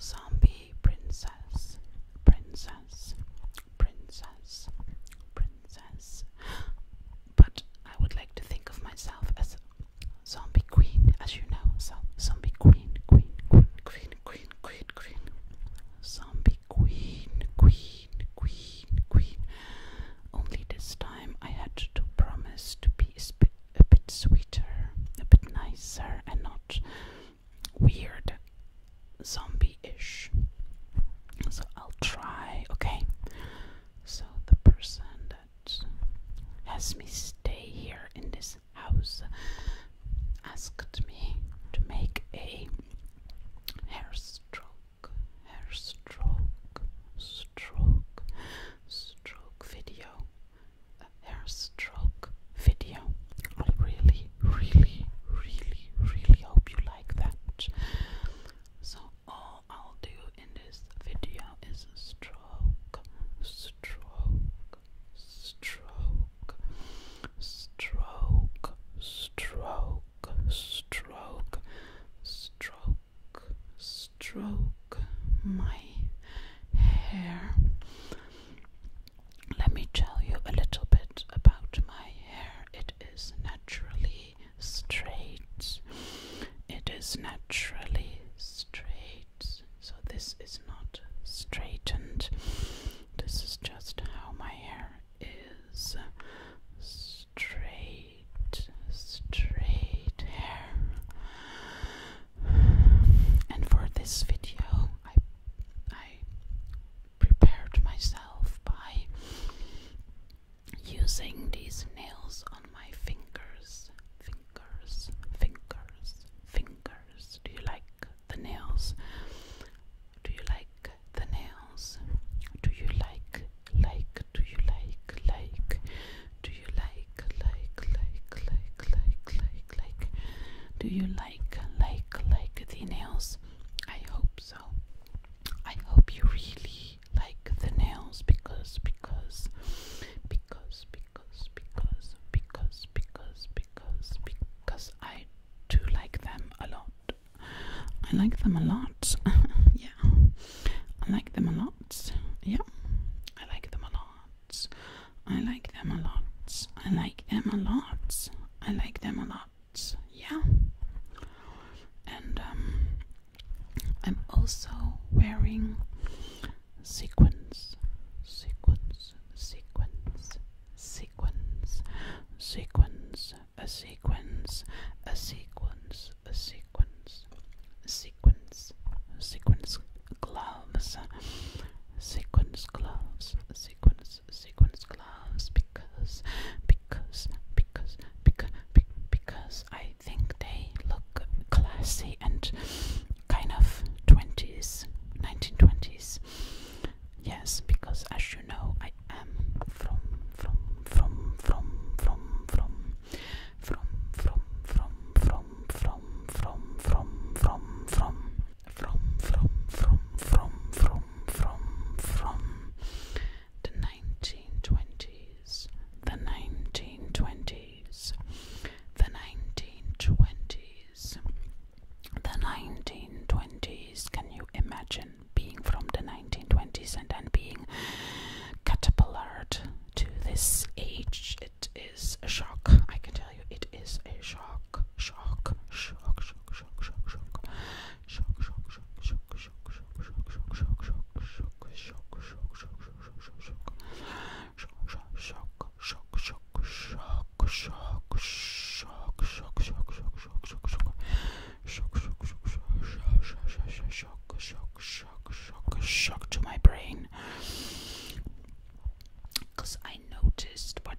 Zombie princess, princess, princess, princess. But I would like to think of myself as zombie queen, as you know. So zombie queen, queen, queen, queen, queen, queen, queen. Zombie queen, queen, queen, queen. Only this time I had to promise to be a bit, a bit sweeter, a bit nicer, and not weird zombie-ish. So I'll try, okay? So the person that has me stay here in this house asked me to make a hair stroke, hair stroke, stroke, stroke video, stroke video. I really, really, really, really hope you like that. So, all I'll do in this video is stroke, stroke, stroke, stroke, stroke, stroke, stroke, stroke my hair. Let me tell you a little bit about my hair. It is naturally straight. It is naturally straight. So this is not straightened. This is just how my hair is straight, straight hair. And for this video, I I prepared myself by using these nails on my fingers. Fingers, fingers, fingers. Do you like the nails? Do you like the nails? Do you like, like, do you like, like, do you like, like, like, like, like, like like do you like like like the nails? I hope so. I hope you really like the nails because because because because because because because because because I do like them a lot. I like them a lot. yeah. I like them a lot. Yeah. I like them a lot. I like them a lot. I like them a lot. I like them a lot. Yeah. And um, I'm also wearing sequins, sequins, sequins, sequins, sequins, a sequence, a sequence, a sequence, sequence, sequence gloves, sequence gloves, sequence sequence gloves because because because because because I think they look classy and kind of 20s 1920s yes because as you know I am from from from from from from from from from from from from from from from from from from from from from from the 1920s the 1920s the 1920s the 1920s can you imagine being from the 1920s and then being catapulted to this age it is a shock i can tell you it is a shock shock, shock, shock, shock, shock, shock, shock, shock, shock, shock, shock, shock, shock, shock, shock, shock. Shock, shock, shock, shock, shock, shock, shock. Shock, shock, shock, shock, shock, shock, shock, shock, shock, shock, shock, shock, shock. Shock, shock, shock, shock, shock, shock, shock, shock, shock to my brain. Cause I noticed what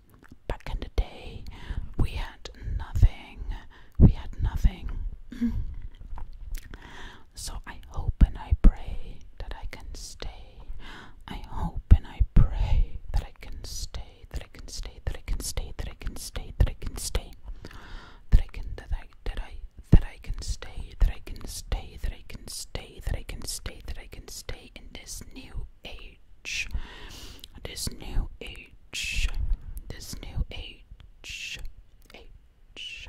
back in the day we had nothing we had nothing so i hope and i pray that i can stay i hope and i pray that i can stay that i can stay that i can stay that i can stay that i can stay that i can that i that i that i can stay that i can stay that i can stay that i can stay that i can stay in this new age. This new H. This new H. Age.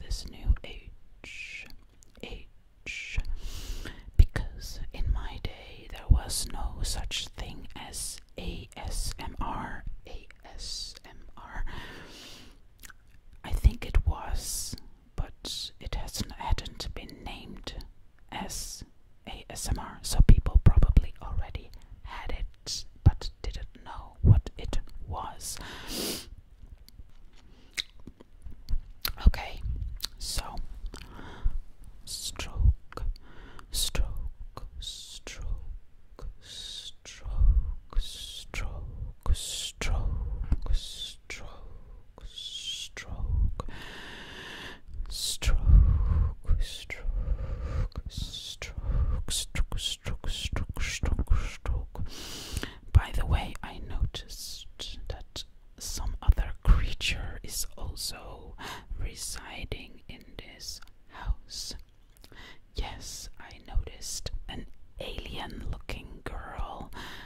This new H. Age. Because in my day there was no such thing as A S M R. A S M R. I think it was but it has hadn't been named as ASMR, so people probably already had it but didn't know what it was. Okay, so stroke, stroke, stroke, stroke, stroke, stroke, stroke, stroke, stroke, stroke, stroke, stroke, stroke, stroke, stroke, stroke. By the way, I noticed that some other creature is also residing in this house. Yes, I noticed an alien looking girl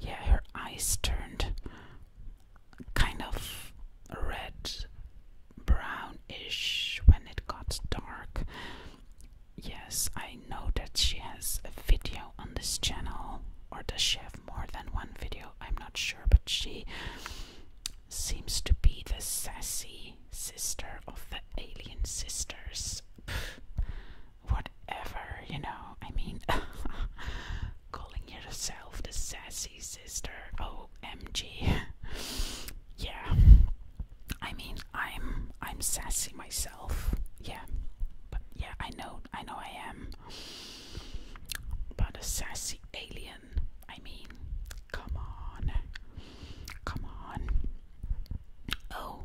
yeah, her eyes turned kind of red brownish when it got dark. Yes, I know that she has a video on this channel, or does she have more than one video? I'm not sure, but she seems to be the sassy sister of the alien sisters whatever, you know. I mean, calling yourself the sassy sister, OMG. yeah. I mean, I'm I'm sassy myself. Yeah. But yeah, I know I know I am. But a sassy alien, I mean, come on. Come on. Oh,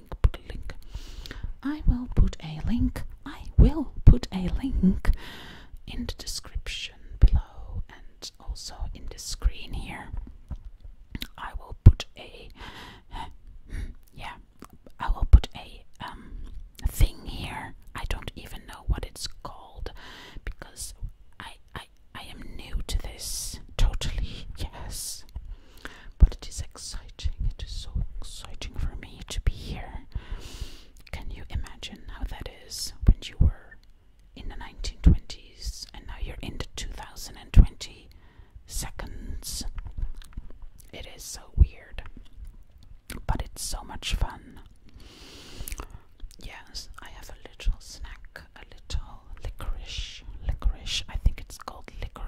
a link, put a link. I will put a link. I will put a link in the description below and also in the screen here. I will put a yeah, I will put a um thing here. I don't even know what it's called because I I I am new to this totally. Yes but it is exciting. It is so exciting for me to be here. Can you imagine how that is when you were in the 1920s and now you're in the 2020 seconds? It is so weird, but it's so much fun. Yes, I have a little snack, a little licorice. Licorice, I think it's called licorice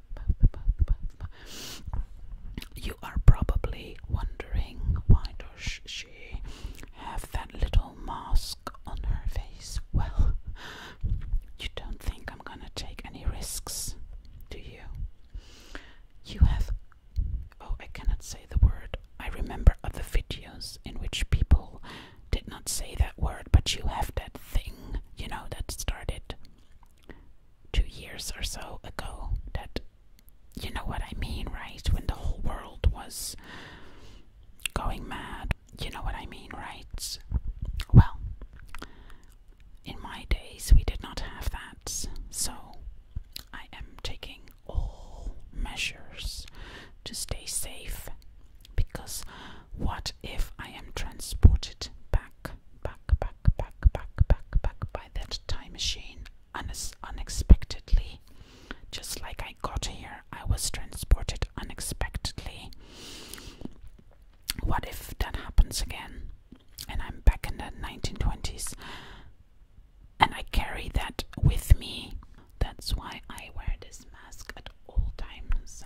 you are probably wondering why does she have that little mask on her face? Well, you don't think I'm gonna take any risks, do you? You have. Oh, I cannot say the word. I remember other videos in which people did not say that word, but you have that thing, you know, that started two years or so ago that you know what I mean, right? When the whole world was going mad, you know what I mean, right? Well, in my days, we did not have that, so I am taking all measures to stay safe because what if I am transported back? back, back, back, back, back, back, back by that time machine un unexpectedly. Just like I got here, I was transported unexpectedly. What if that happens again? And I'm back in the 1920s and I carry that with me. That's why I wear this mask at all times.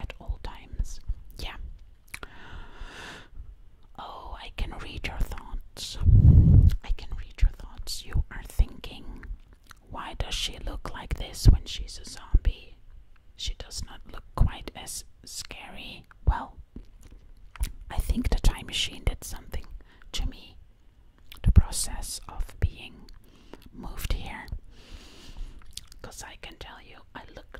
At all times. Yeah, Oh, I can read your thoughts. I can read your thoughts. You are thinking, why does she look like this when she's a zombie? She does not look quite as scary. Well, I think the time machine did something to me. The process of being moved here. Because I can tell you, I look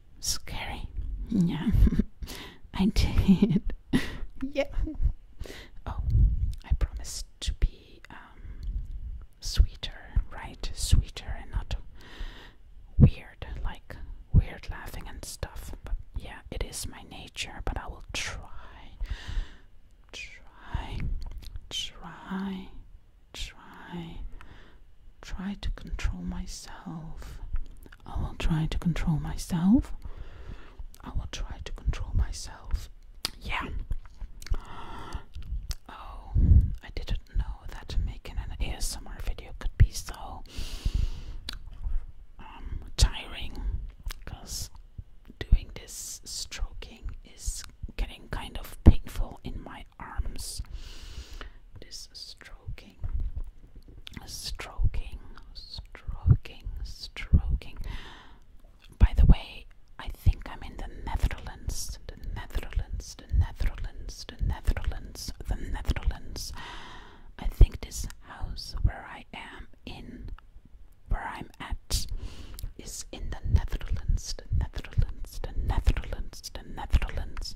Scary. Yeah, I did. yeah. Oh, I promised to be um, sweeter, right? Sweeter and not weird, like weird laughing and stuff. But yeah, it is my nature, but I will try, try, try, try, try to control myself. I will try to control myself. I will try to control myself. Yeah. Oh, I didn't know that making an ASMR video could be so um, tiring because doing this stroking is getting kind of painful in my arms. This stroking stroking, stroking, stroking, By the way, I think I'm in the Netherlands, the Netherlands, the Netherlands, the Netherlands, the Netherlands. I think this house where I am in, where I'm at, is in the Netherlands, the Netherlands, the Netherlands, the Netherlands.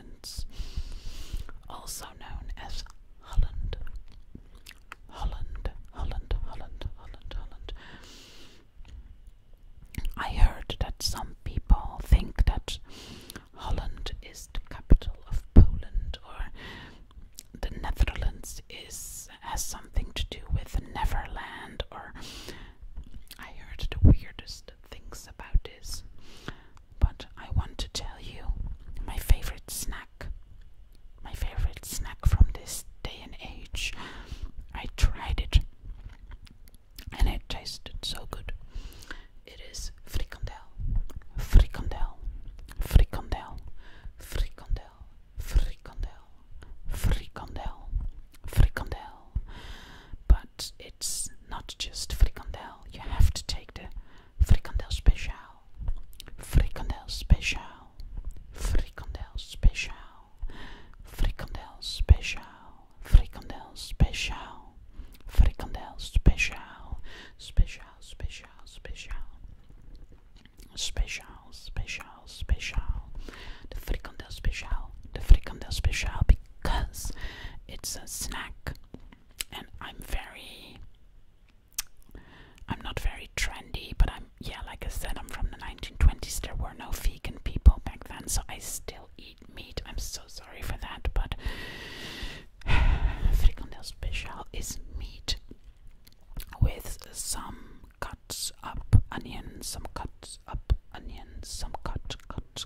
Islands, also known as Holland. Holland, Holland, Holland, Holland, Holland. I heard that some people think that Holland is the capital of Poland or the Netherlands is has something to do with Neverland or I heard the weirdest things about this, but I want to tell you my favorite snack. My favorite snack from this day and age. I tried it and it tasted so good. It is frikandel, frikandel, frikandel, frikandel, frikandel, frikandel, frikandel, but it's not just fricandel. You have to take the fricandel special, fricandel special, fricandel special, fricandel special, fricandel special, fricandel special, special, special, special. Special, special, special. The fricandel special, the fricandel special because it's a snack and I'm very I'm not very trendy, but I'm yeah, like I said, I'm from the 1920s. There were no vegan people back then, so I still eat meat. I'm so sorry for that, but frikandel special is meat with some cuts up onion, some cuts up onion, some cut, cut,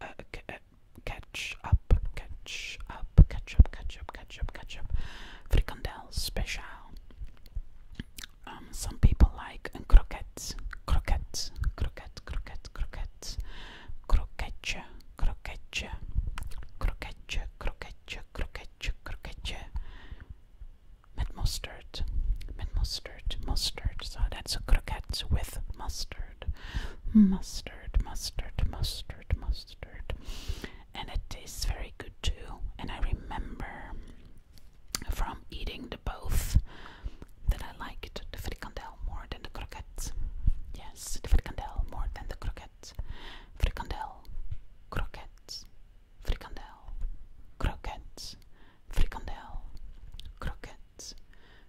uh, catch up, catch up, catch up, catch up, catch up, catch up, fricandel special. Um, some people like um, croquettes, croquettes, croquette, croquette, croquettes, croquette, croquette, croquette, croquette, croquette, croquette, met mustard, met mustard mustard, mustard. So that's a croquette with mustard. Mustard, mustard, mustard, mustard. And it tastes very good too. And I remember from eating the both that I liked the frikandel more than the croquette. Yes, the frikandel more than the croquette. Frikandel, croquette, frikandel, croquette, frikandel, croquettes,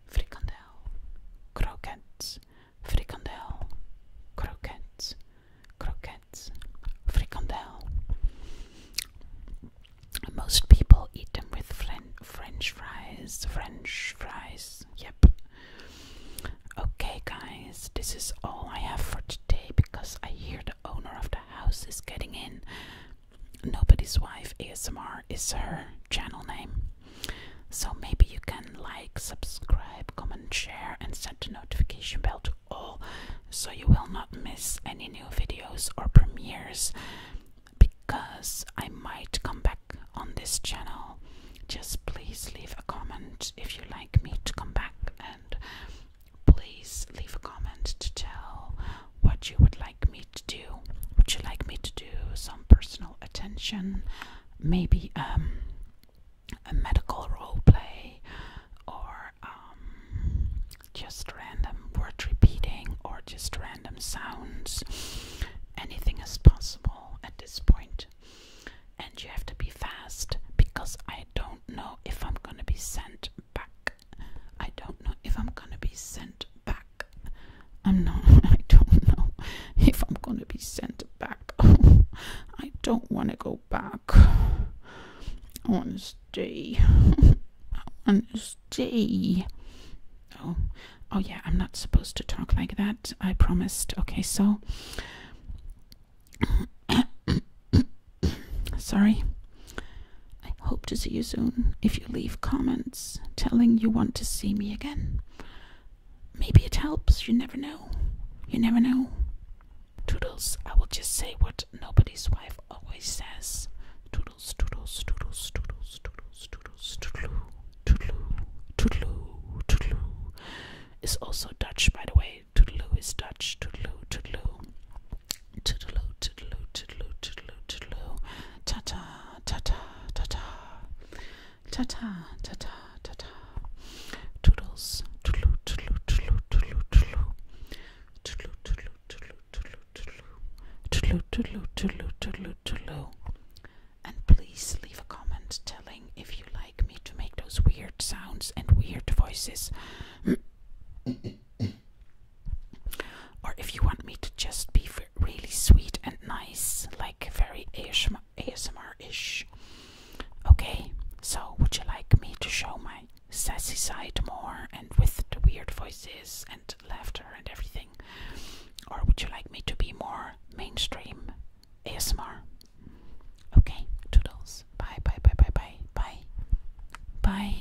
frikandel, croquettes, frikandel, croquettes, croquettes, frikandel. Most people eat them with French fries, French fries, yep. Okay, guys, this is all I have for today because I hear the owner of the house is getting in. Nobody's Wife ASMR is her channel name. So maybe you can like, subscribe, comment, share, and set a notification bell to all so you will not miss any new videos or premieres because I might come back on this channel. Just please leave a comment if you like me to come back and please leave a comment to tell what you would like like me to do? Would you like me to do some personal attention? Maybe um, a medical role play, or um, just random word repeating, or just random sounds. Anything is possible at this point. And you have to be fast because I don't know if I'm gonna be sent back. I don't know if I'm gonna be sent back. I'm not, I don't know if I'm gonna be sent back. I don't want to go back. I want to stay. I want to stay. Oh, oh yeah, I'm not supposed to talk like that. I promised. Okay, so. Sorry. I hope to see you soon if you leave comments telling you want to see me again. Maybe it helps, you never know. You never know. Toodles, I will just say what nobody's wife always says. Toodles, toodles, toodles, toodles, toodles, toodles, toodloo, toodloo, toodloo, toodloo. Is also Dutch, by the way. Toodloo is Dutch. Toodloo, toodloo. Toodaloo, toodaloo, toodaloo, toodaloo, toodaloo. Ta ta ta ta ta ta ta ta ta ta ta ta toodles toodle toodle toodle toodle toodle toodle toodle toodle toodle toodle toodle toodle and please leave a comment telling if you like me to make those weird sounds and weird voices or if you want me to just be really sweet and nice, like very ASMR ish. Okay, so would you like me to show my sassy side more and with the weird voices and laughter and everything? Or would you like me to be more mainstream ASMR? Okay, toodles. Bye, bye, bye, bye, bye, bye. Bye.